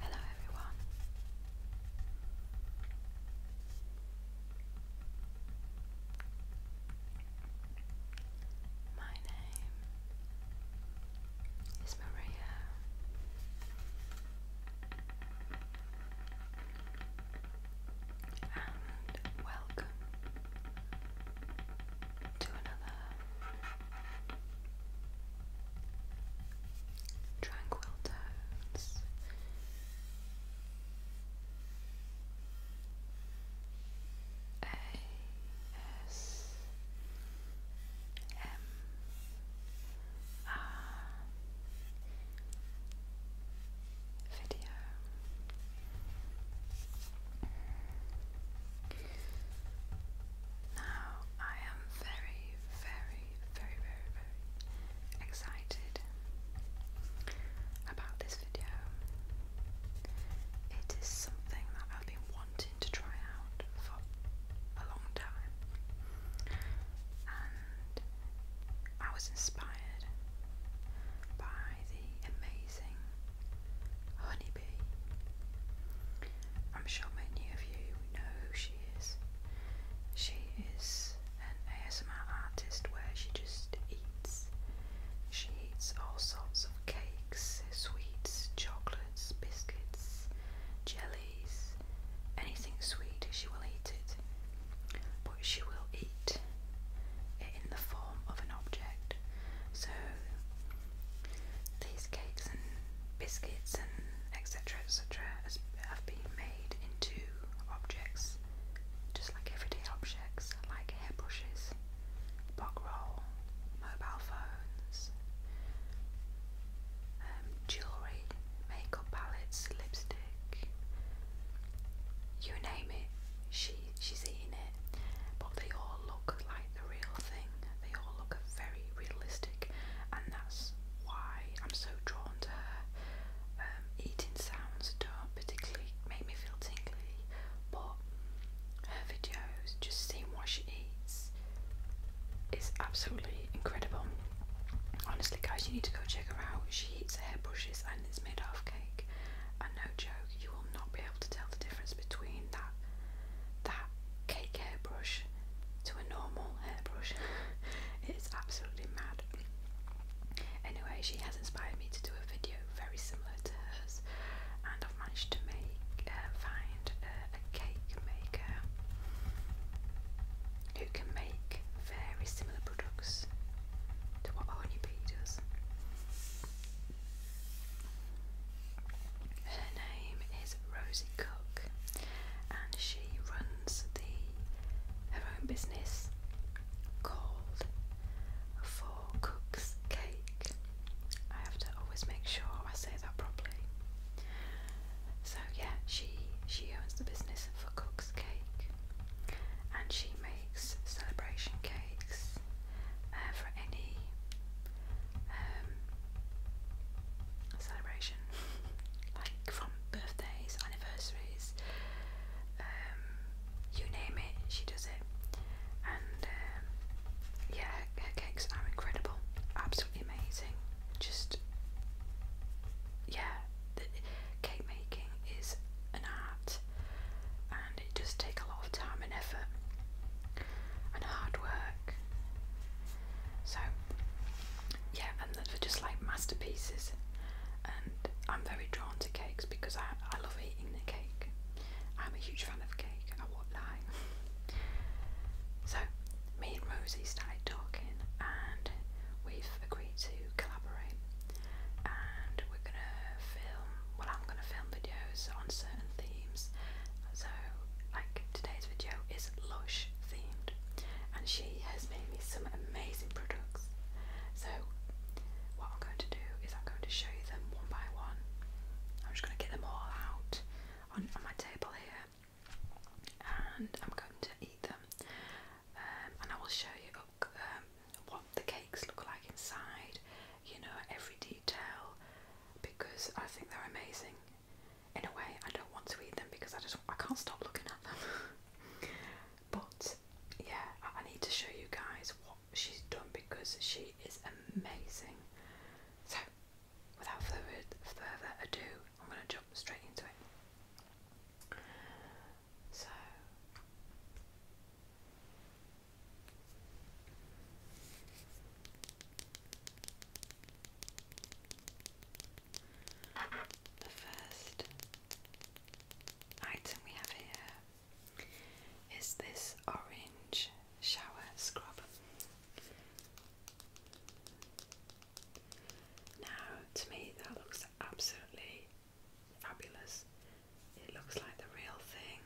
Hello, everyone. My name is Maria, and welcome to another tranquil tones. A S M R video. Now I am very, very, very, very, very excited about this video. It is something that I've been wanting to try out for a long time. I was inspired by the amazing Honeybee. I'm sure many of you know who she is. She is an ASMR artist where she just eats. She eats all sorts of cakes, sweets, chocolates, biscuits, jellies, anything sweet, she will eat it but she will eat it in the form of an object. So these cakes and biscuits and etc. etc. have been made into objects, just like everyday objects, like hairbrushes, bog roll, mobile phones, um, jewellery, makeup palettes, lipsticks you name it, she she's eating it. But they all look like the real thing. They all look very realistic, and that's why I'm so drawn to her. Um, eating sounds don't particularly make me feel tingly, but her videos, just seeing what she eats, is absolutely incredible. Honestly, guys, you need to go check her out. She eats hairbrushes, and it's made of cake. And no joke, you will not be able to tell the difference between that that cake hairbrush to a normal hairbrush. it's absolutely mad. Anyway, she has inspired me to do a video very similar to hers, and I've managed to make uh, find uh, a cake maker who can make very similar products to what RUB does. Her name is Rosie Cook and she runs the her own business called For Cook's Cake. I have to always make sure I say that properly. So yeah, she she owns the business for Cook's Cake and she makes celebration cakes uh, for any um, celebration, like from birthdays, anniversaries, um, you name it, she does it. And um, yeah, her, cakes are incredible, absolutely amazing. Just yeah, cake making is an art and it does take a lot of time and effort and hard work. So, yeah, and they're just like masterpieces. And I'm very drawn to cakes because I, I love eating the cake. I'm a huge fan of cake, I won't so, me and Rosie started talking and we've agreed to collaborate and we're gonna film well I'm gonna film videos on certain themes so like today's video is lush themed and she has made me some amazing products so what I'm going to do is I'm going to show you them one by one I'm just going to get them all out on, on my table here and I'm going to eat them um, and I will show you um, what the cakes look like inside, you know, every detail, because I think they're amazing. In a way, I don't want to eat them because I just I can't stop looking at them. but yeah, I, I need to show you guys what she's done because she is amazing. So, without further further ado, I'm going to jump straight into it. So the first item we have here is this orange shower scrub. Now, to me, that looks absolutely Fabulous. It looks like the real thing.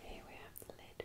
Here we have the lid.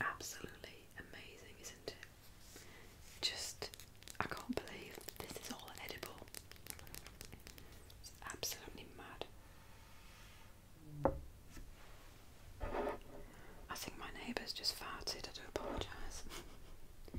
Absolutely amazing, isn't it? Just, I can't believe this is all edible. It's absolutely mad. I think my neighbours just farted, I do apologise.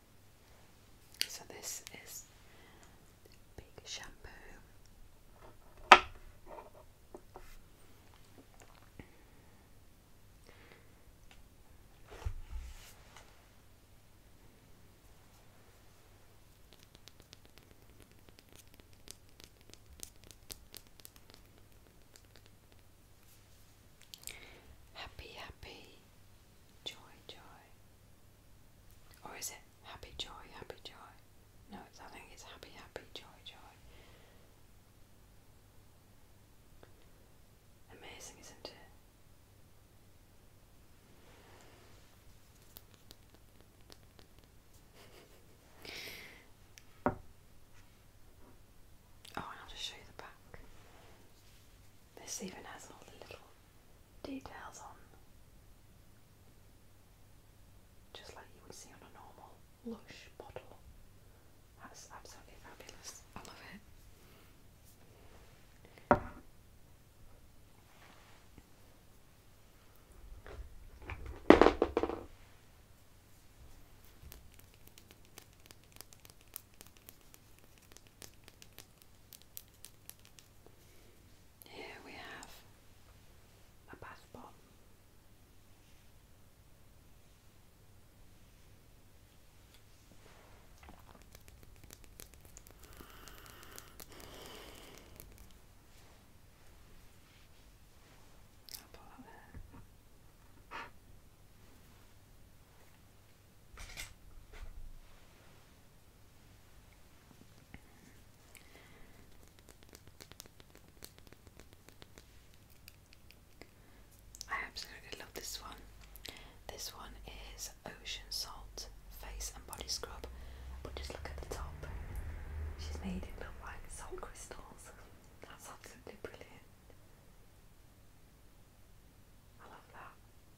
So this is big shampoo. Happy, happy, joy, joy, or is it happy joy, happy joy? No, it's, I think it's happy, happy, joy, joy. Amazing, isn't it? oh, I'll just show you the back. This even has all the little details on, just like you would see on a normal lush bottle. That's absolutely fabulous. I love it. Here we have a bath bomb. I absolutely love this one. This one is Ocean Salt Face and Body Scrub, but just look at the top. She's made it look like salt crystals. That's absolutely brilliant. I love that.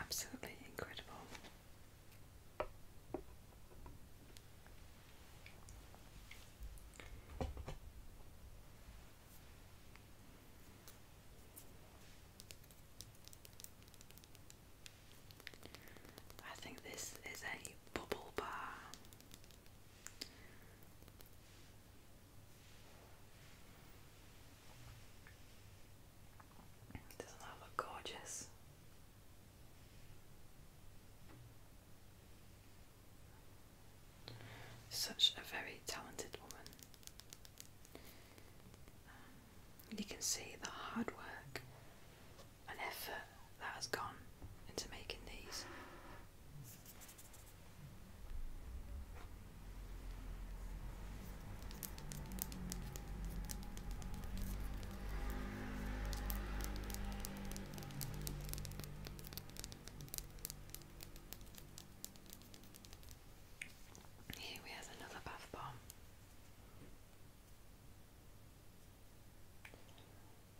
Absolutely incredible. I think this is a bubble bar. Doesn't that look gorgeous? Such a very talented woman. Um, you can see the hard work and effort that has gone into making these. Here we have another bath bomb.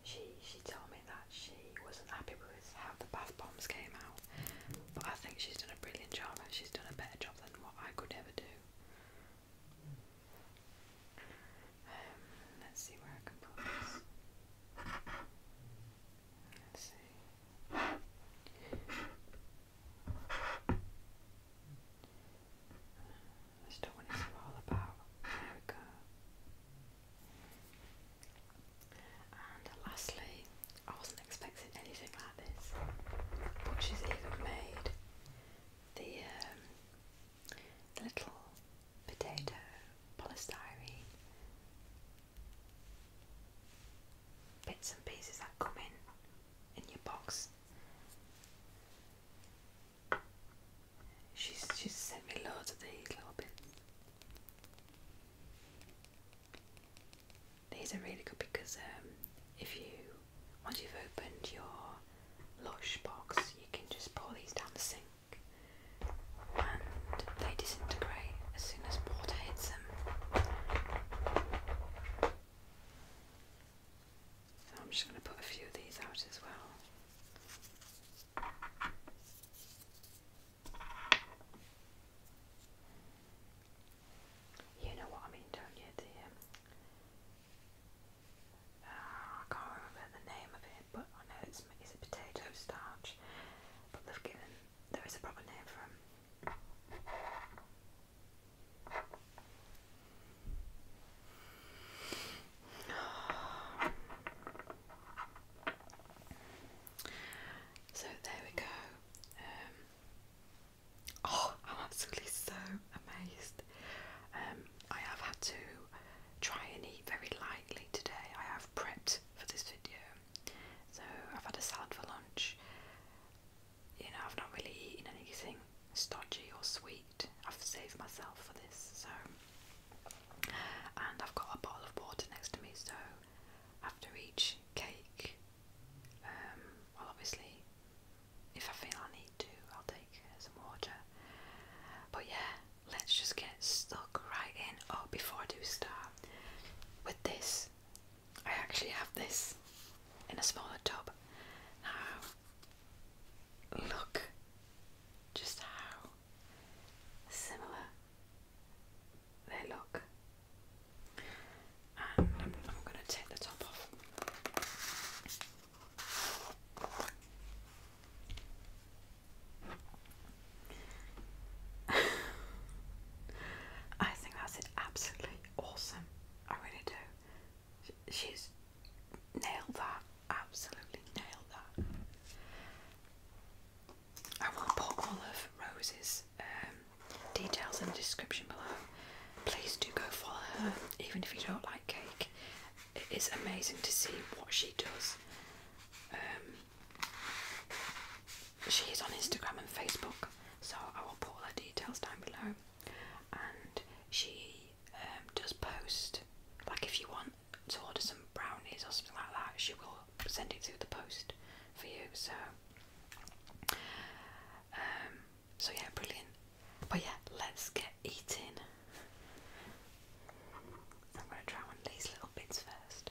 She she told me that she wasn't happy with how the bath bombs came out, but I think she's done a brilliant job and she's done a better job than what I could ever do. Um, let's see where I can put this. Let's see. I still want to see all about. There we go. And lastly, I wasn't expecting anything like this, but she's even made the, um, the little potato polystyrene bits and pieces that come in in your box She's she's sent me loads of these little bits. These are really good because um, if you once you've opened your lush box, you can just pour these down the sink, and they disintegrate as soon as water hits them. So I'm just going to put a few of these out as well. You know what I mean, don't you, dear? Ah, I can't remember the name of it, but I know it's, it's a potato starch, but they've given, there is a proper name for them. So there we go. Um, oh, I'm absolutely so amazed. Um, I have had to try and eat very lightly today. I have prepped for this video. So I've had a salad for lunch you know, I've not really eaten anything stodgy or sweet. I've saved myself for this, so. And I've got a bottle of water next to me, so after each cake, um, well, obviously, if I feel I need to, I'll take some water. But yeah, let's just get stuck right in. Oh, before I do start with this, I actually have this in a smaller tub. Now, Look just how similar they look. And I'm, going to take the top off. I think that's absolutely awesome. I really do. She's Nail that. Absolutely nail that. I will put all of Rose's um, details in the description below. Please do go follow her, even if you don't like cake. It is amazing to see what she does. Um, she is on Instagram and Facebook, so I will put her details down below. And she does um, post. Like if you want to order some brownies or something like that, she will send it through the post for you. So, um, so yeah, brilliant. But yeah, let's get eating. I'm gonna try one of these little bits first.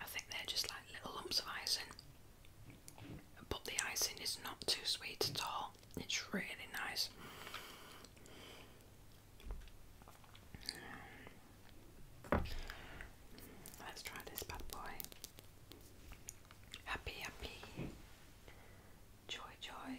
I think they're just like little lumps of icing, but the icing is not too sweet at all, it's really nice. Let's try this bad boy. Happy, happy. Joy, joy.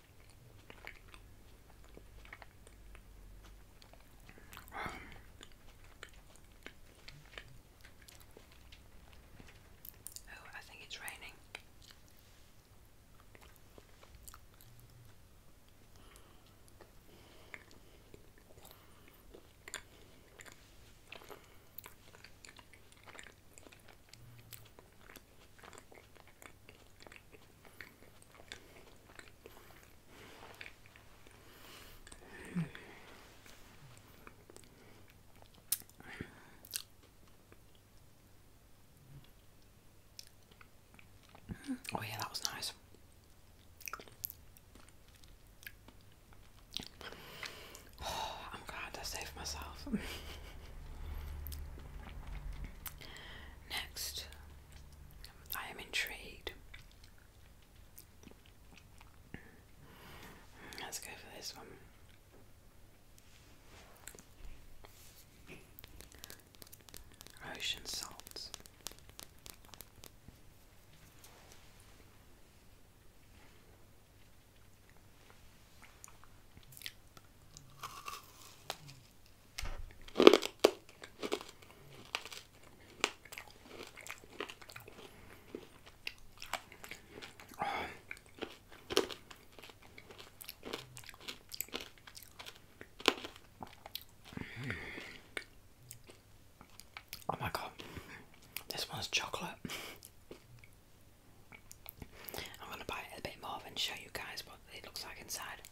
Oh, I think it's raining. Oh, yeah, that was nice. I'm glad I saved myself. Next, I am intrigued. Let's go for this one. Ocean salts. Oh my god, this one's chocolate. I'm gonna buy a bit more and show you guys what it looks like inside.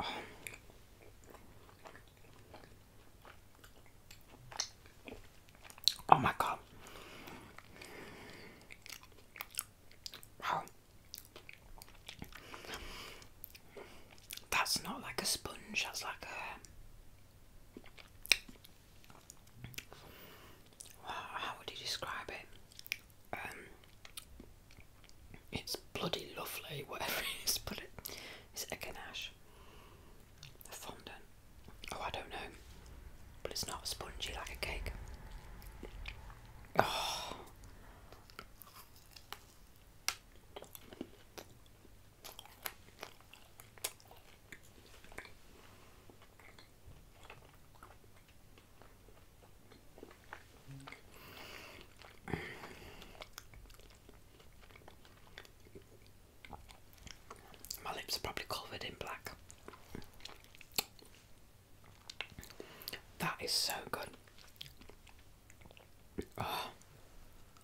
oh. oh my god. Wow. That's not like a sponge, that's like a how would you describe it? Um, it's bloody lovely, whatever it is, but it, is a ganache? A fondant? Oh, I don't know. But it's not spongy like a cake. Oh. My lips are probably covered in black. That is so good. Ah.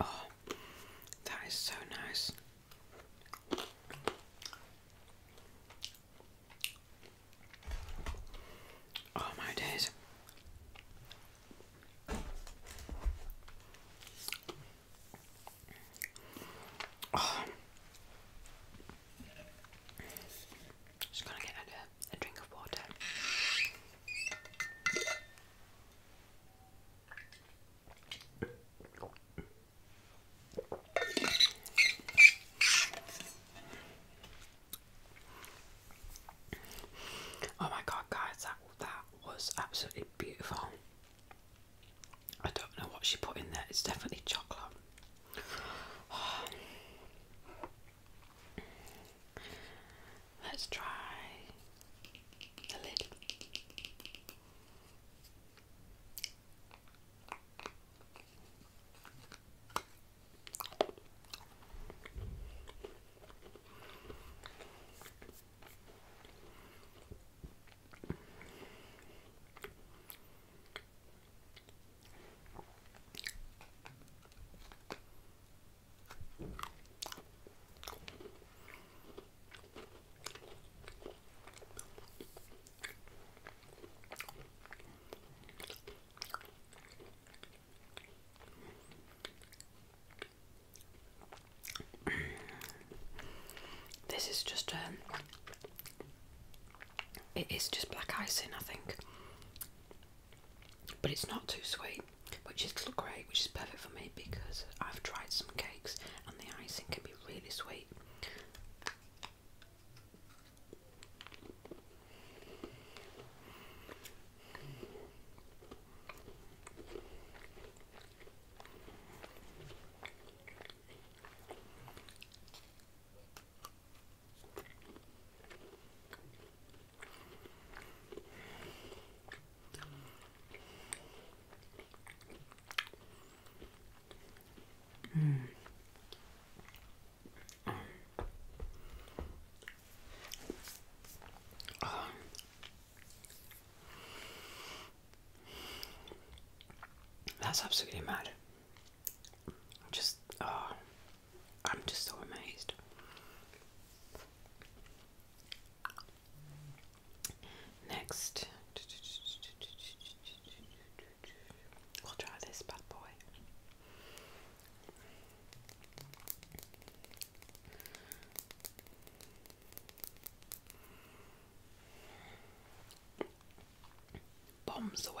Oh, that is so nice. Oh, my days. Oh. Just gonna get a, drink of water. Oh my god, guys, that that was absolutely beautiful. I don't know what she put in there. It's definitely chocolate. Oh. Let's try the lid. This is just um it is just black icing, I think but it's not too sweet, which is great, which is perfect for me because I've tried some cakes and the icing can be really sweet. Mm. That's absolutely mad. Just, ah. I'm just so amazed. Next, we'll try this bad boy. Bombs away.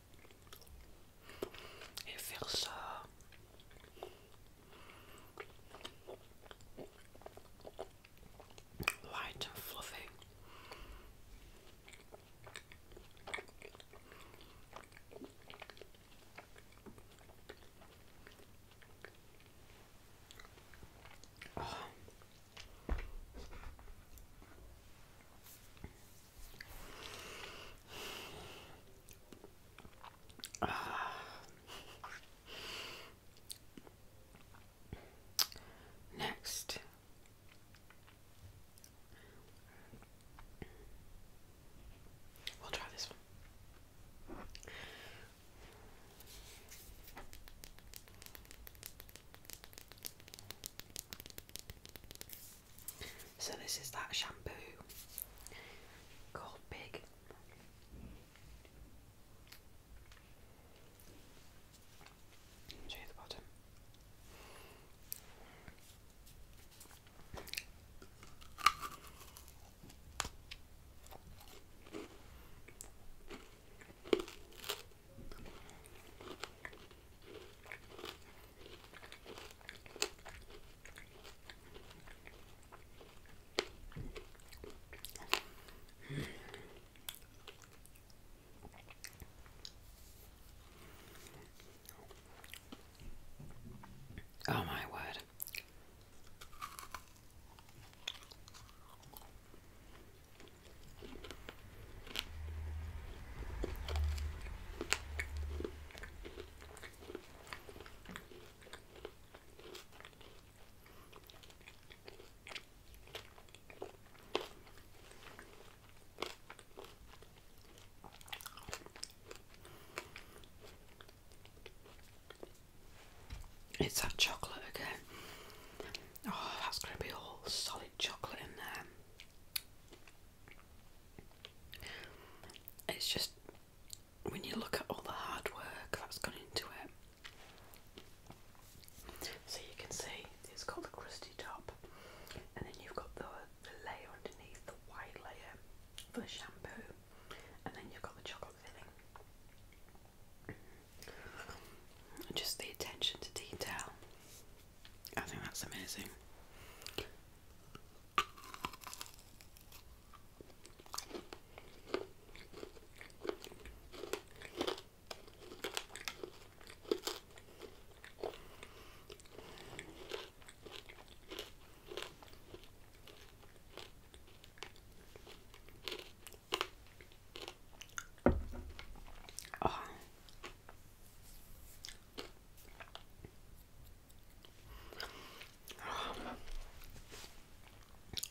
It feels so light and fluffy Next. We'll try this one. So this is that shampoo called Big. To the bottom. Oh, my word. It's that chocolate again. Oh, that's going to be all solid chocolate in there. It's just when you look at all the hard work that's gone into it. So you can see it's got the crusty top, and then you've got the, the layer underneath, the white layer for the shampoo, and then you've got the chocolate filling. Just the attention to detail I think that's amazing.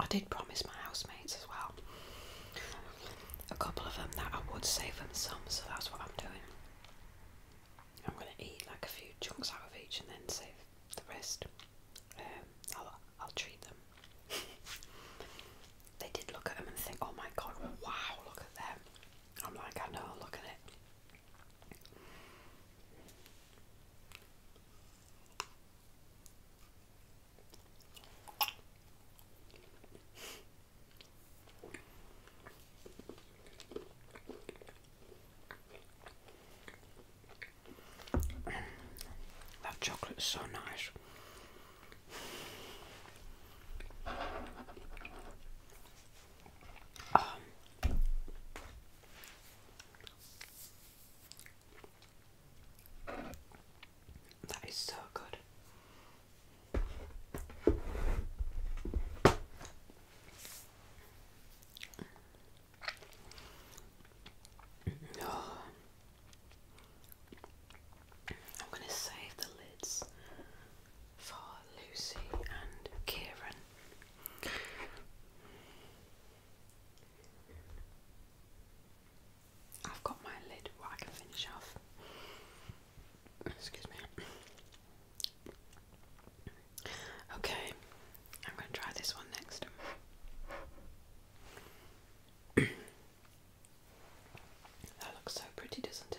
I did promise my housemates as well, a couple of them, that I would save them some, so that's what I'm doing. I'm going to eat like a few chunks out of each and then save the rest. Um, I'll, I'll treat them. they did look at them and think, oh my god, wow, look at them. I'm like, I know, look at it. that chocolate's so nice that is so good. I'm going to save the lids for Lucy and Kieran. I've got my lid I can finish off. Excuse me. Okay, I'm going to try this one next. that looks so pretty, doesn't it?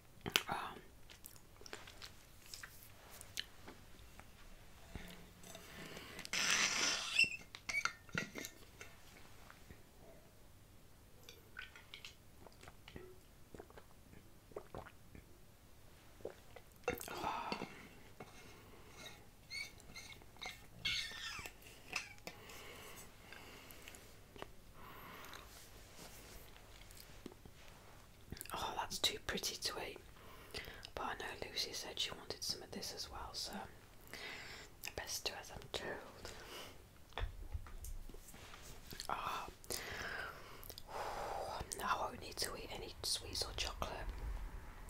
Um, uh, Oh, that's too pretty to eat. But I know Lucy said she wanted some of this as well, so I best do as I'm told. Ah, I won't need to eat any sweets or chocolate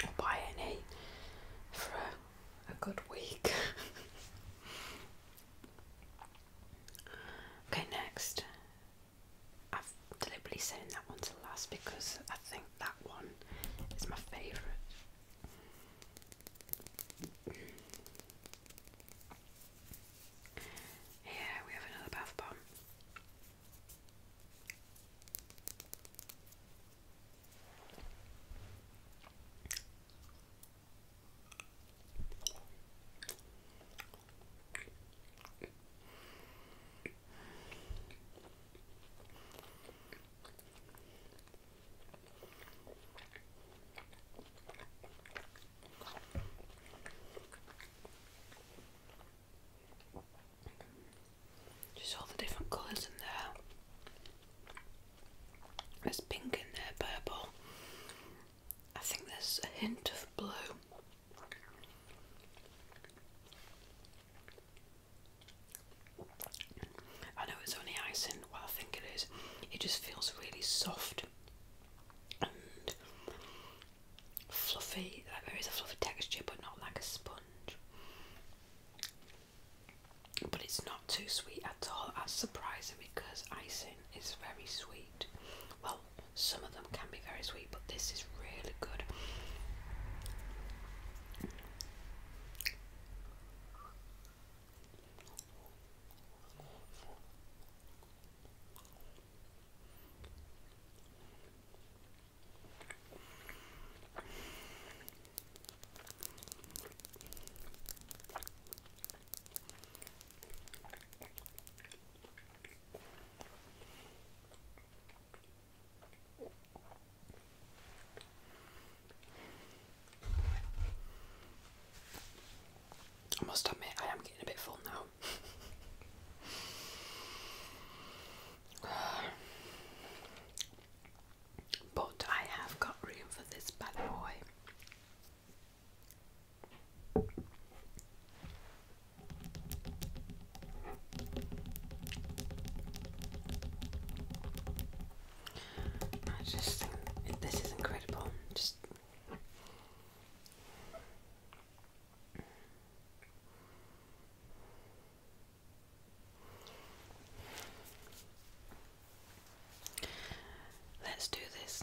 or buy any for a good week. Okay, next. I've deliberately sent that one to last because I think that one is my favourite. Yeah, we have another bath bomb. Just all the different colours in there. There's pink in there, purple, I think there's a hint of blue. I know it's only icing, what I think it is. It just feels really soft and fluffy. Like there is a fluffy texture, but not like a sponge. But it's not too sweet at all. That's surprising because icing it's very sweet. Well, some of them can be very sweet, but this is really good. I must admit, I am getting a bit full now. but I have got room for this bad boy. I just this is incredible. Just Let's do this.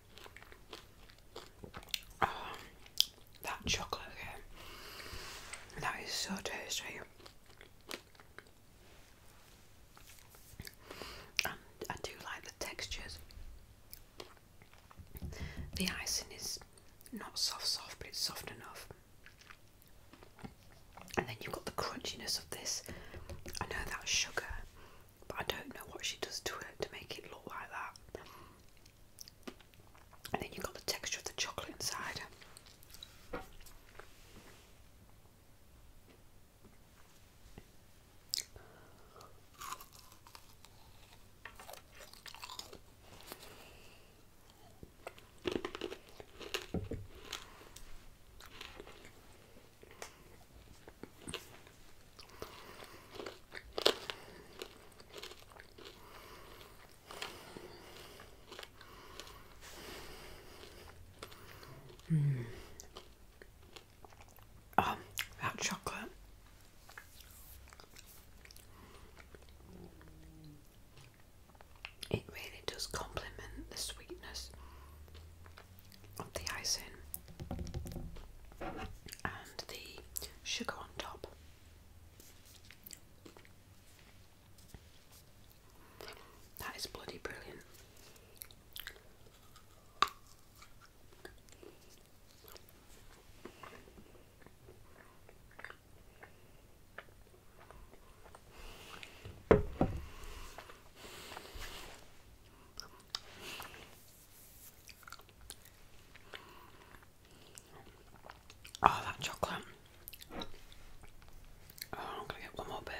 Oh, that chocolate That is so tasty. Um, I do like the textures. The icing is not soft, soft, but it's soft enough. And then you've got the crunchiness of this. I know that's sugar, but I don't know what she does to it to make it look like that. And then you've got the texture of the chocolate inside. Mm. Oh, that chocolate. It really does complement the sweetness of the icing and the sugar on top. That is bloody brilliant. Oh, that chocolate. Oh, I'm gonna get one more bit.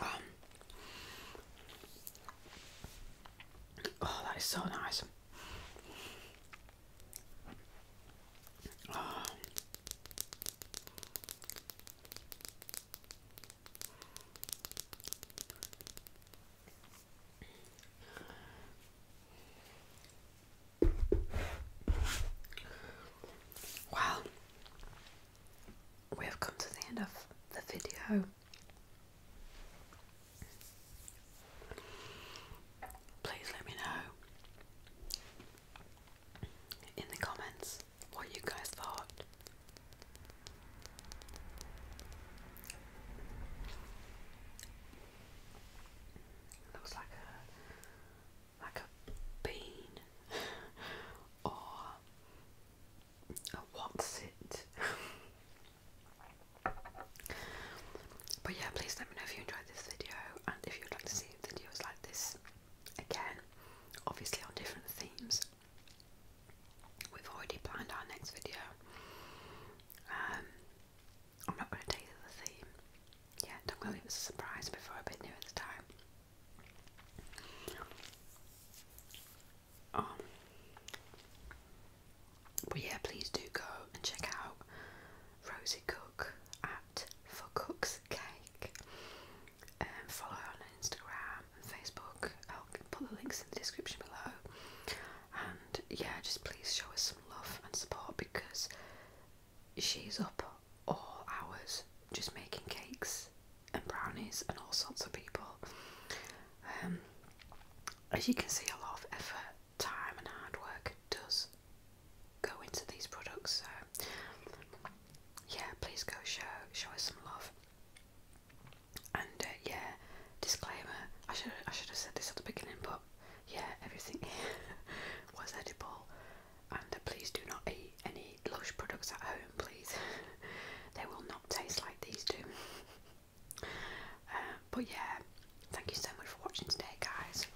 Um, oh, that is so nice. Wow, we have come to the end of the video. Please let me know in the comments what you guys thought like a bean or a what's it. but yeah, please let me know if you enjoyed this video and if you'd like to see videos like this again, obviously on different themes. We've already planned our next video. Um, I'm not going to tell the theme yeah, don't really it was a surprise before, but bit knew at the time. Um, but yeah, please do go and check out Rosie Cook at For Cook's Cake. And um, follow her on Instagram and Facebook. I'll put the links in the description below. And yeah, just please show us some love and support because she's up all hours just making cakes and brownies and all sorts of people. Um, as you can see, a lot of effort, time, and hard work does go into these products. So, yeah, please go show show us some love. And uh, yeah, disclaimer: I should I should have said this at the beginning, but yeah, everything was edible and please do not eat any lush products at home, please. they will not taste like these do. Uh, but yeah, thank you so much for watching today, guys,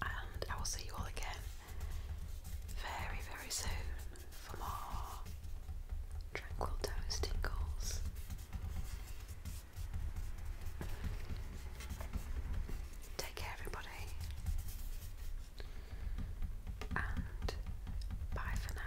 and I will see you all again very, very soon for more tranquil toes tingles. Take care, everybody, and bye for now.